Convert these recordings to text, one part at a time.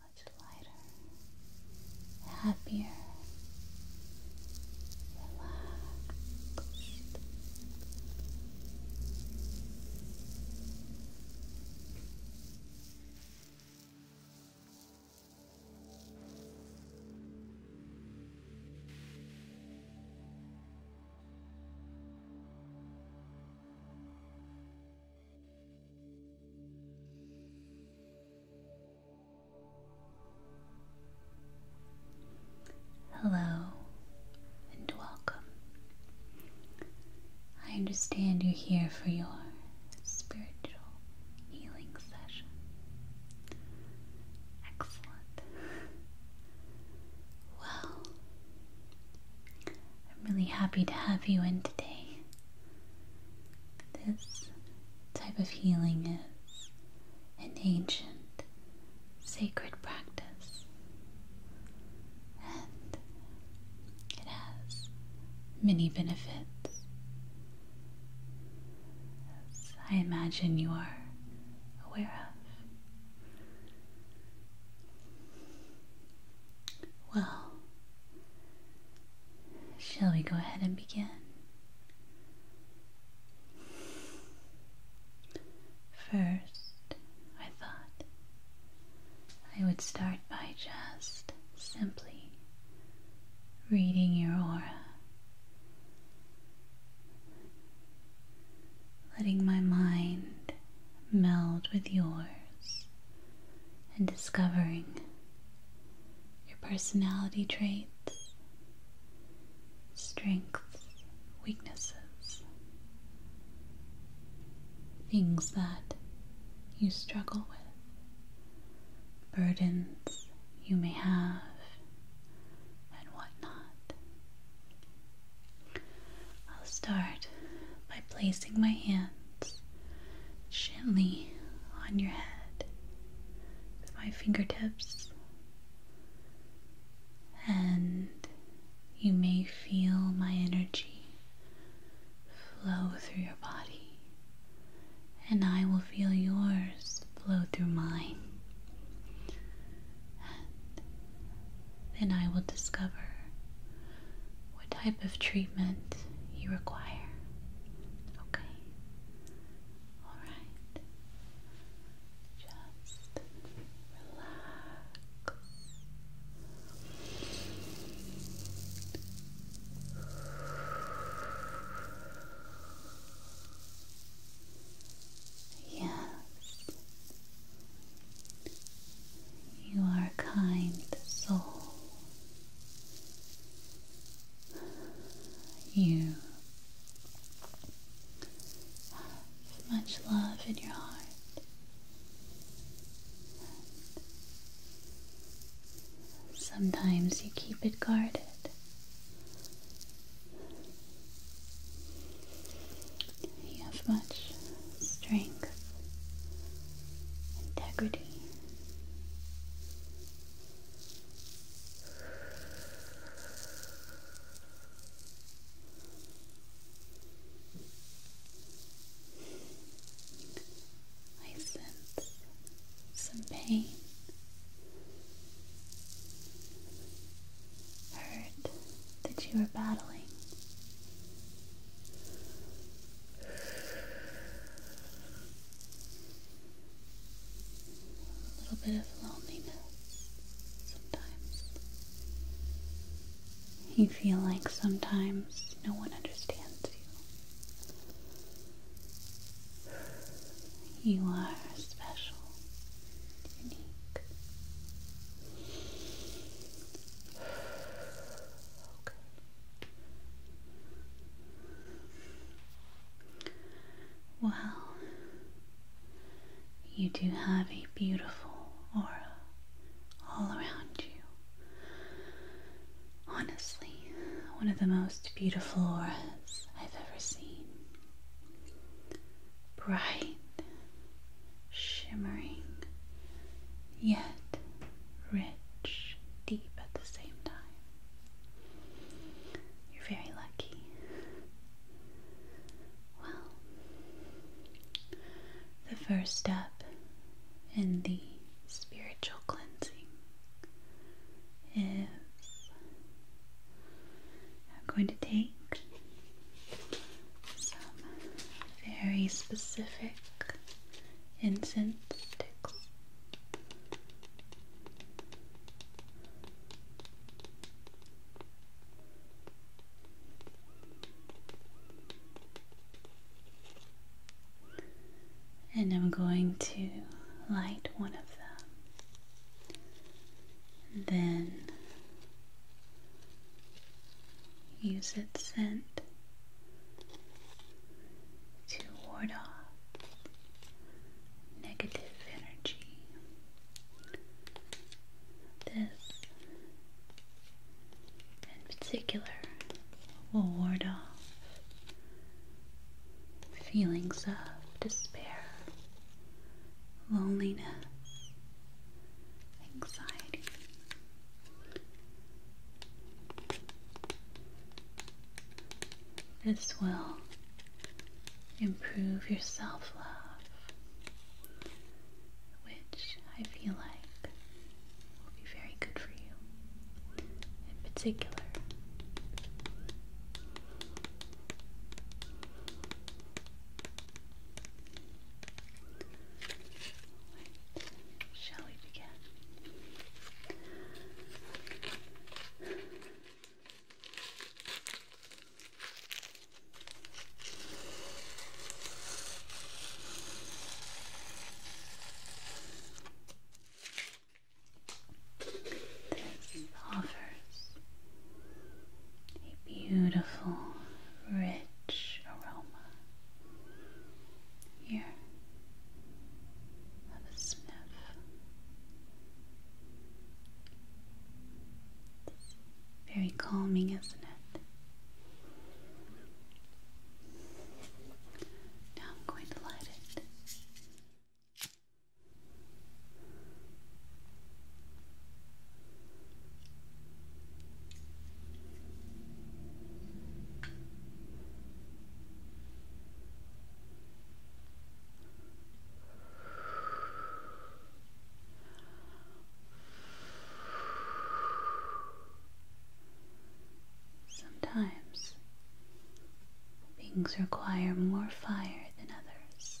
much lighter, happier, relaxed. Hello and welcome. I understand you're here for your spiritual healing session. Excellent. Well, I'm really happy to have you in today. This type of healing is an ancient sacred practice, and it has many benefits. I imagine you are aware of. Well, shall we go ahead and begin? First, I thought I would start by just simply reading your aura, letting my mind meld with yours and discovering your personality traits, strengths, weaknesses, things that you struggle with, burdens you may have, and whatnot. I'll start by placing my hand gently on your head with my fingertips, and you may feel my energy flow through your body, and I will feel yours flow through mine. And then I will discover what type of treatment you require. Okay? Alright. Just relax. Yes. You are a kind soul. You have much love in your heart. Sometimes you keep it guarded. You have much strength, integrity. I sense some pain, hurt that you are battling. A little bit of loneliness sometimes. You feel like sometimes no one understands you. You are special, unique. Okay. Well, you do have a beautiful aura all around you. Honestly, one of the most beautiful auras I've ever seen. Bright, shimmering, yet rich, deep at the same time. You're very lucky. Well, the first step in the spiritual cleansing is I'm going to take some very specific incense sticks. And I'm going to light one of them, then Use its scent to ward off negative energy. This, in particular, will ward off feelings of despair, loneliness, anxiety, this will improve your self love, which I feel like will be very good for you in particular. Shall we begin? This offers a beautiful, rich aroma here. Have a sniff. very calming, isn't it? Now I'm going to light it. Sometimes things require more fire than others.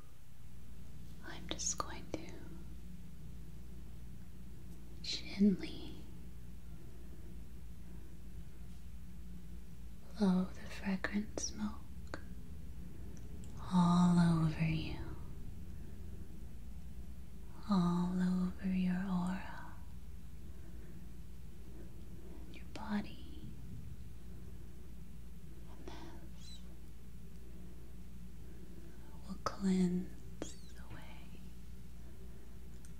I'm just going to gently blow the fragrant smoke all over you, all over your aura, your body. And this will cleanse away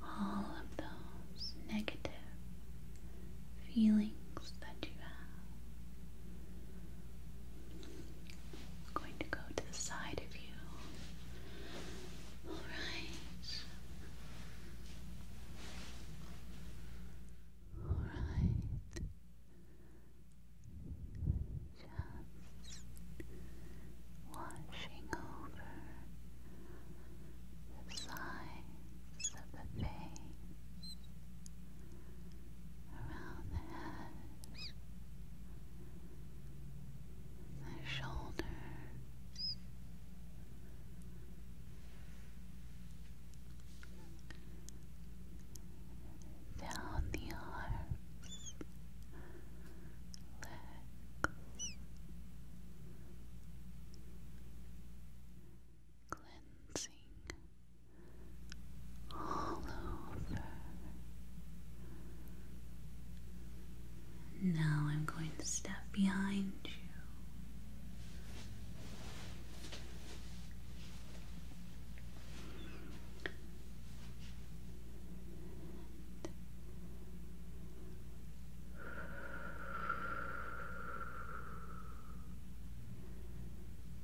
all of those negative feelings that you have. going to go to the side of you. Alright. Alright just washing over the sides of the face, around the head, the shoulders, down the arms, legs, cleansing all Now I'm going to step behind you.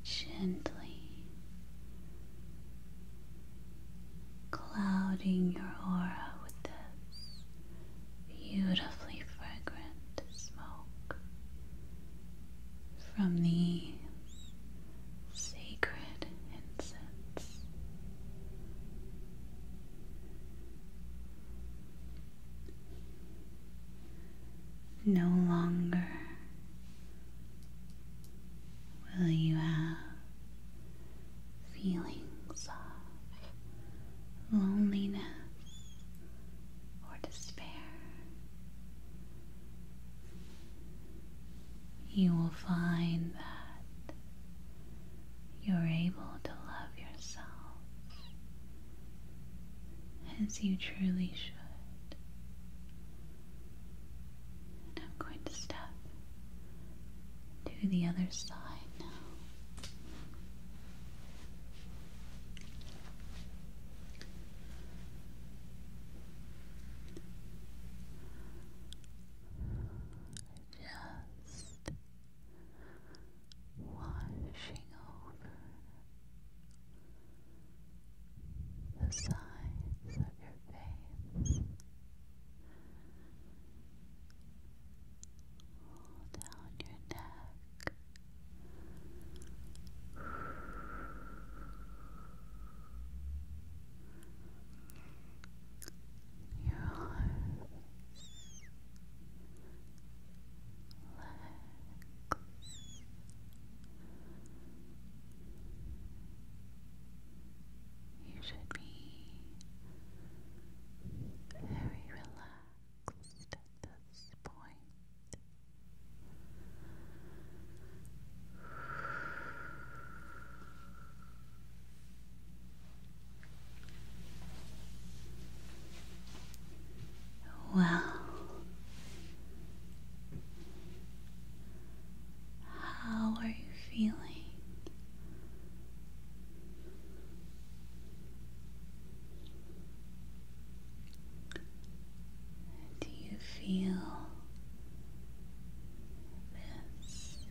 Gently clouding your aura with this beautifully fragrant smoke from the sacred incense. No longer will you have feelings of loneliness or despair you will find that you're able to love yourself as you truly should. I'm going to step to the other side now. Just washing over the sides of your face, down your neck your arms, legs. You should be very relaxed at this point. Well, how are you feeling? Do you feel this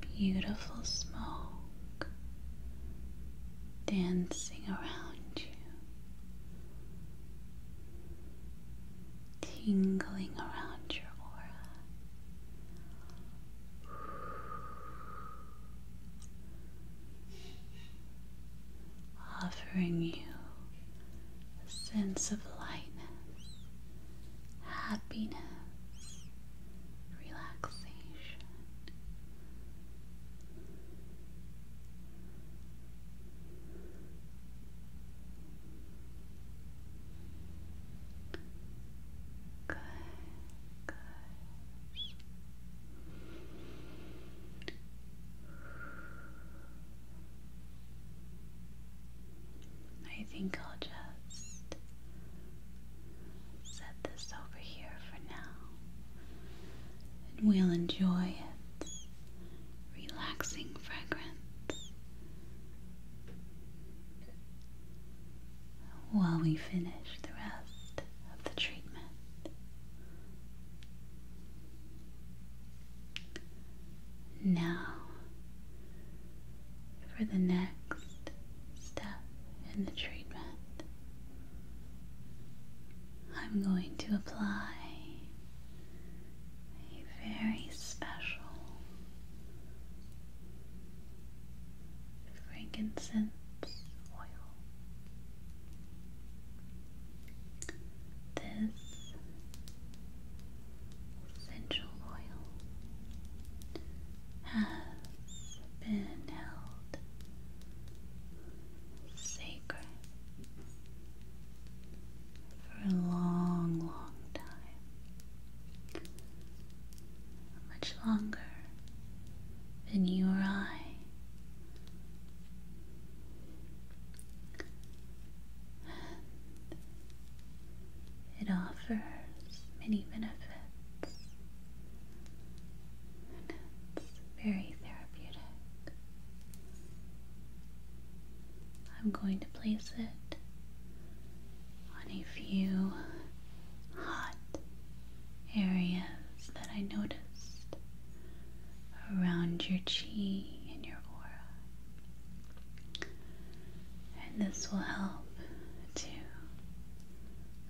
beautiful smoke dancing around you, tingling around your aura? offering you a sense of lightness, happiness, relaxation. Good, good. I think I'll just set this over here for now. And we'll enjoy its relaxing fragrance while we finish the rest of the treatment. Now, for the next step in the treatment, I'm going to apply a very special frankincense oil. This essential oil has been held sacred for a long, long time. Much longer than you or I it offers many benefits, it's very therapeutic. I'm going to place it on a few hot areas that I noticed around your chi and your aura. And this will help to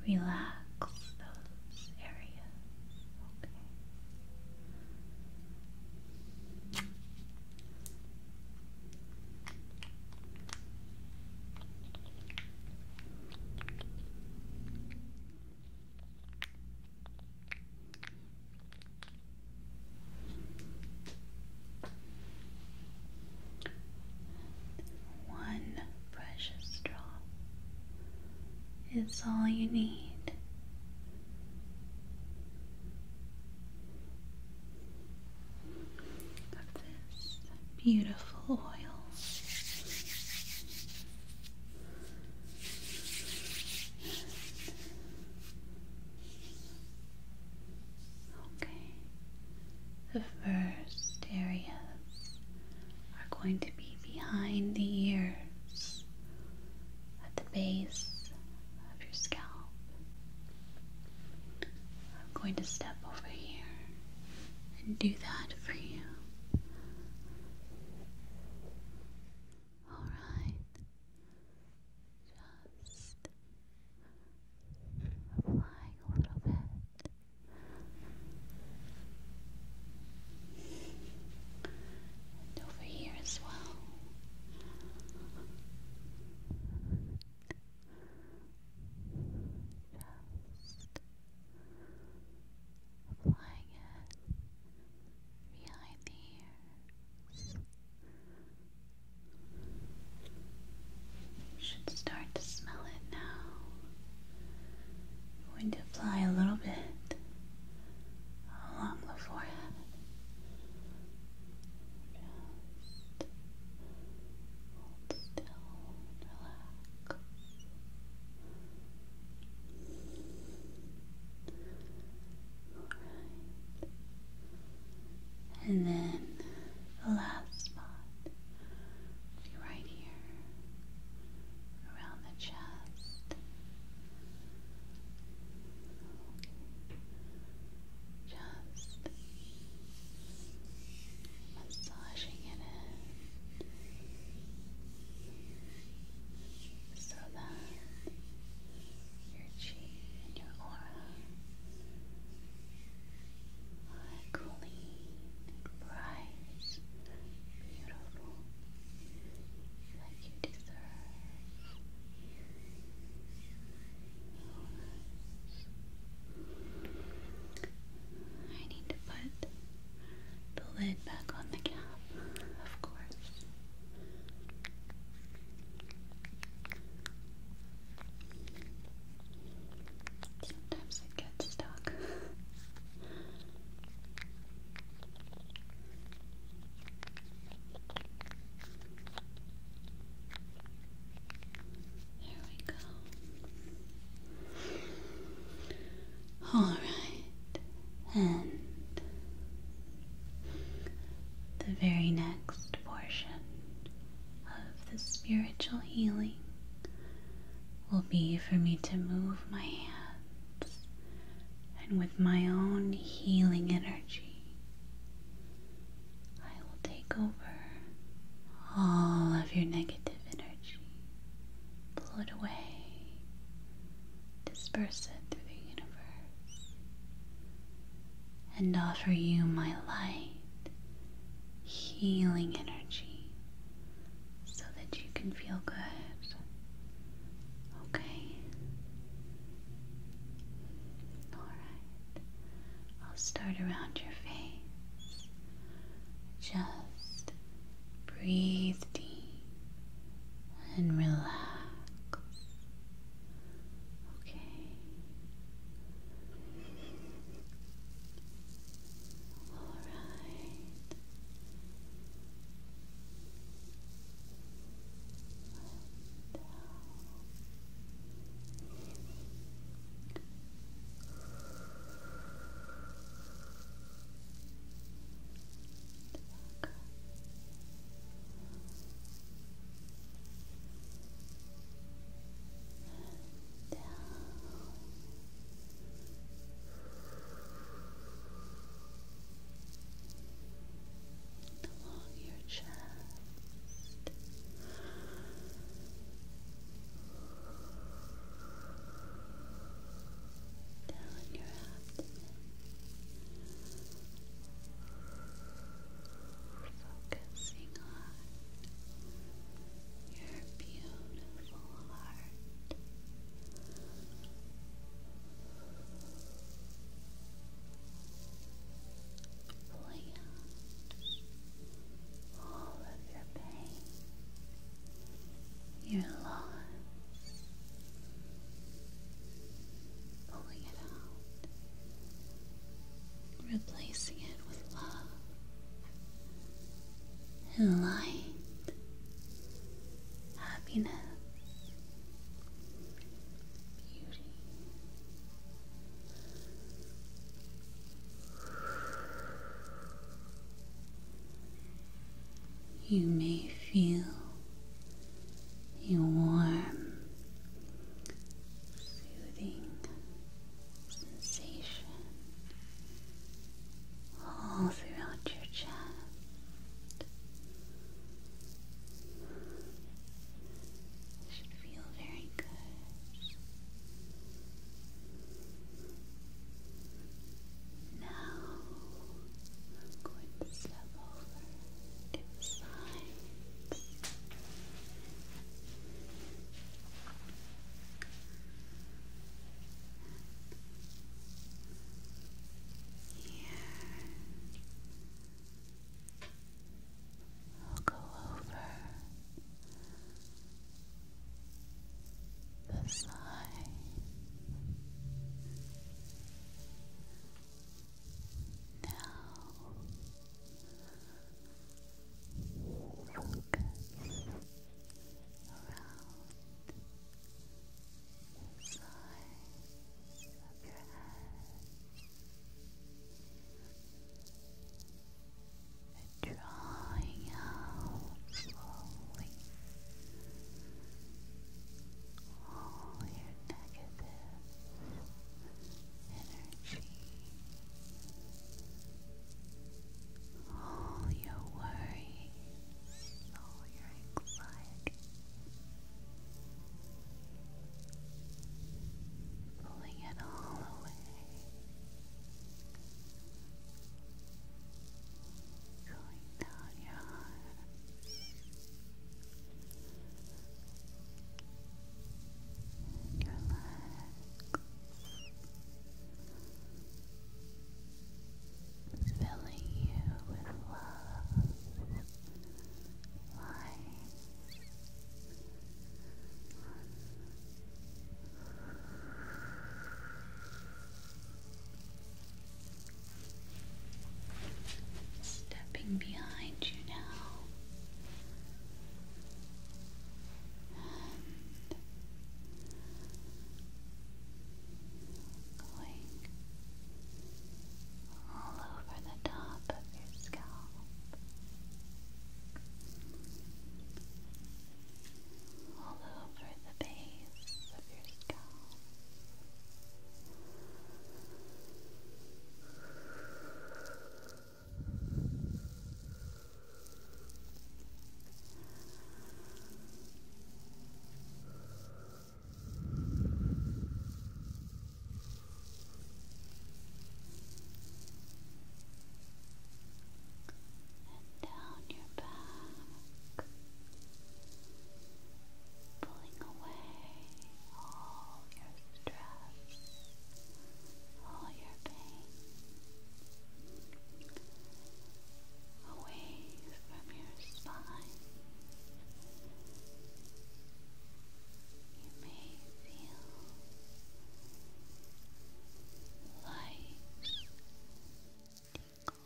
relax those areas. One precious drop is all you need. Of this beautiful oil. Okay, the first areas are going to be behind the ears at the base of your scalp. I'm going to step over here and do that for you. Alright. Just applying a little bit. And over here as well. Just applying it behind the ear should start to smell it now. I'm going to apply a little bit along the forehead. hold still, relax. Alright. And then the last spot will be right here around the chest. Just massaging it in so that your chi and your aura are clean bright, beautiful, like you deserve. I need to put the lid back on the cap, of course. Sometimes it gets stuck. There we go. All right and the very next portion of the spiritual healing will be for me to move my hands and with my own healing energy I will take over all of your negative energy, pull it away, disperse it through the universe, and offer you my light, healing energy, so that you can feel good. Okay? Alright. I'll start around your face. Just breathe deep and relax. Okay. All right. Down and down. your chest. Down your abdomen. Focusing on your beautiful heart. Play all of your pain, your loss, pulling it out, replacing it with love light, happiness, beauty. You may feel a warm, soothing sensation all throughout your chest. It should feel very good. Now I'm going to step over to Here we'll go over the side. Now, focus around the sides of your head, and drawing out slowly all your negative energy, all your worries, all your anxiety, pulling it all away. Going down your arms, filling you with love, light. Stepping behind you now. going all over the top of your scalp. All over the base of your scalp. And down your back pulling away all your stress, all your pain away from your spine. You may feel light tingles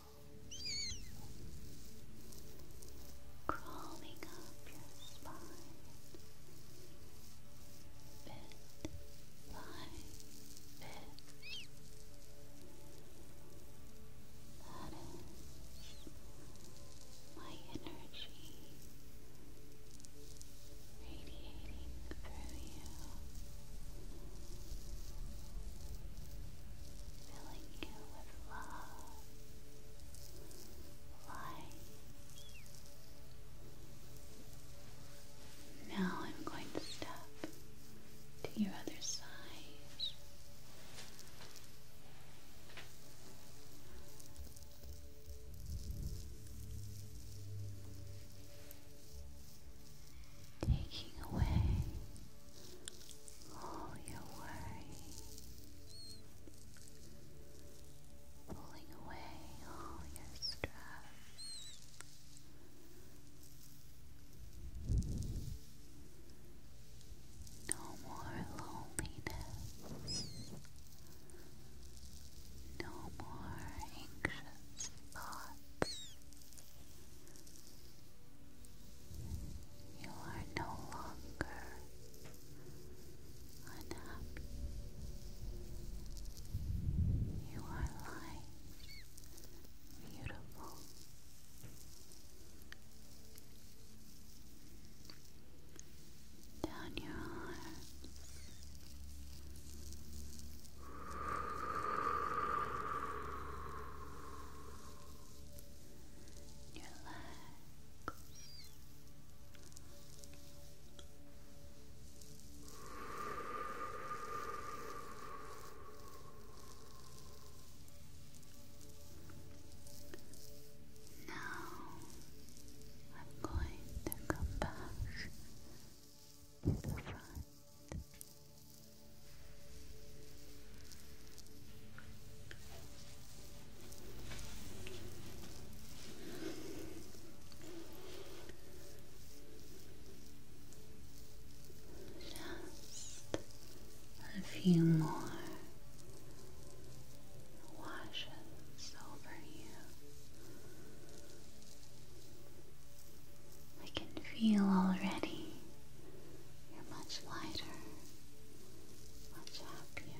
crawling up your spine bit by bit. That is my energy radiating through you, filling you you Now I'm going to step to your other side. Taking away all your worries, pulling away all your stress. No more loneliness, no more anxious thoughts. You are no longer unhappy. You are light, beautiful. Down your arms. Now I'm going to come back to the front. Just a few more washes over you. I can feel already you're much lighter, much happier,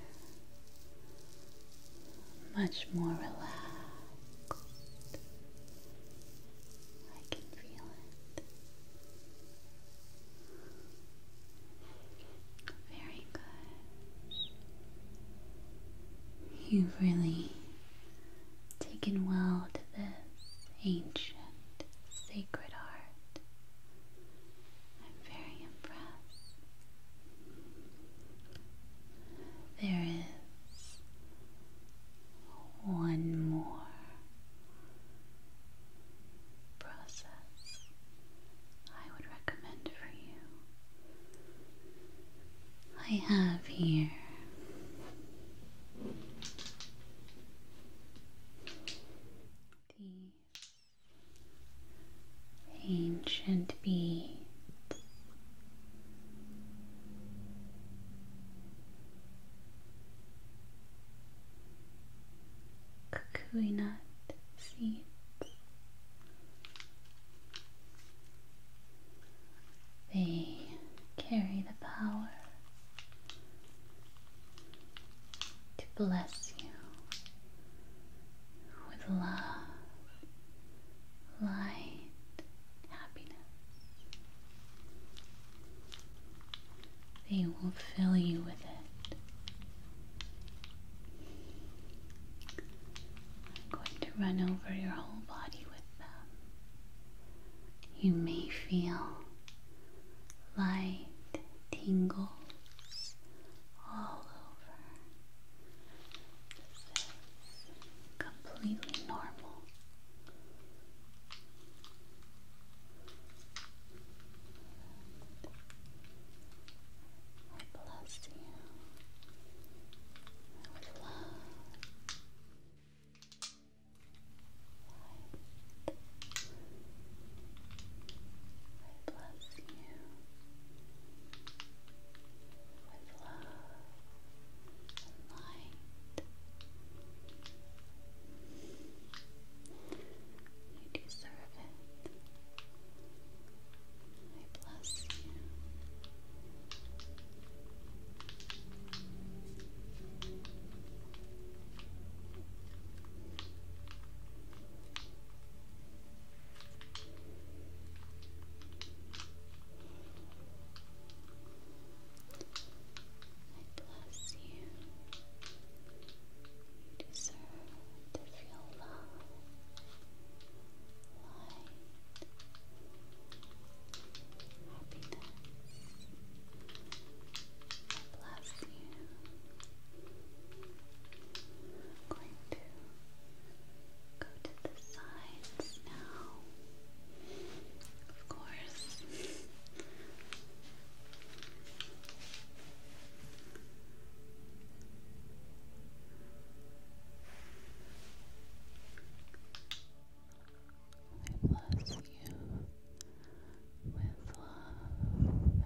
much more relaxed. I can feel it. Very good. You've really taken well to this ancient sacred art. I'm very impressed. There is one more process I would recommend for you. I have here the ancient beads. Kukui seeds. They carry the power to bless you with love, light, happiness. They will fill you with it. I'm going to run over your whole body with them. You may feel light tingles all over. This is completely normal. I bless you with love. I bless you with love and light. You deserve it. I bless you bless you. You deserve to feel love, light, happiness. Bless you. I'm going to go to the sides now. Of course. Okay. I bless you with love and light.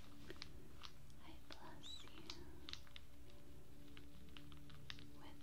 I bless you with love and light.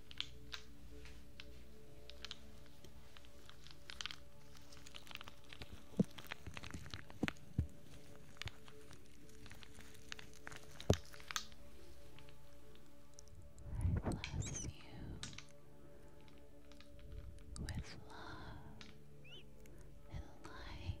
I bless you with love and light.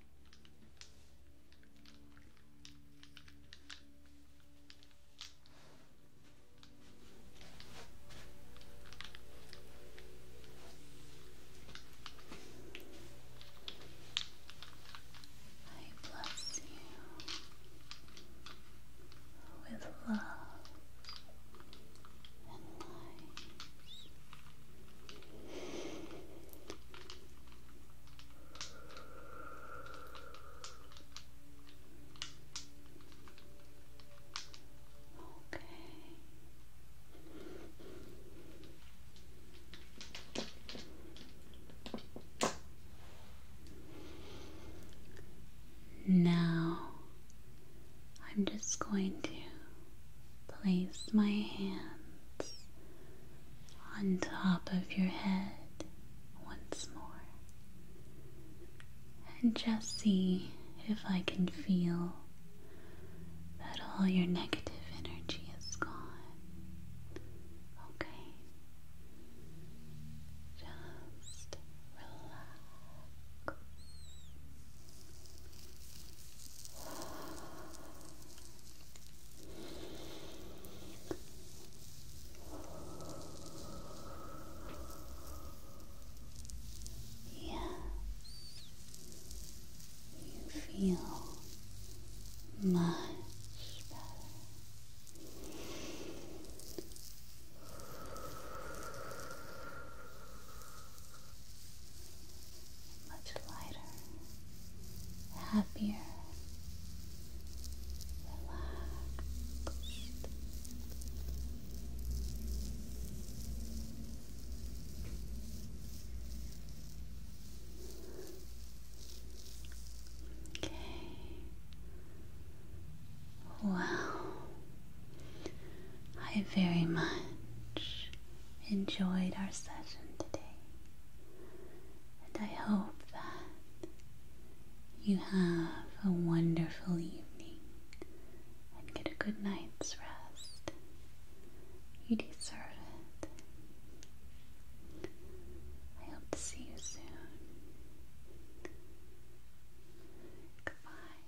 I bless you with love and light. Okay. Now I'm just going to place my hands on top of your head once more and just see if I can feel that all your negative energy is gone. Okay. Just relax. Yes, you feel much better much lighter, happier, relaxed. Okay. Wow. I very much enjoyed our session today. And I hope that you have a wonderful evening and get a good night's rest. You deserve it. I hope to see you soon. Goodbye.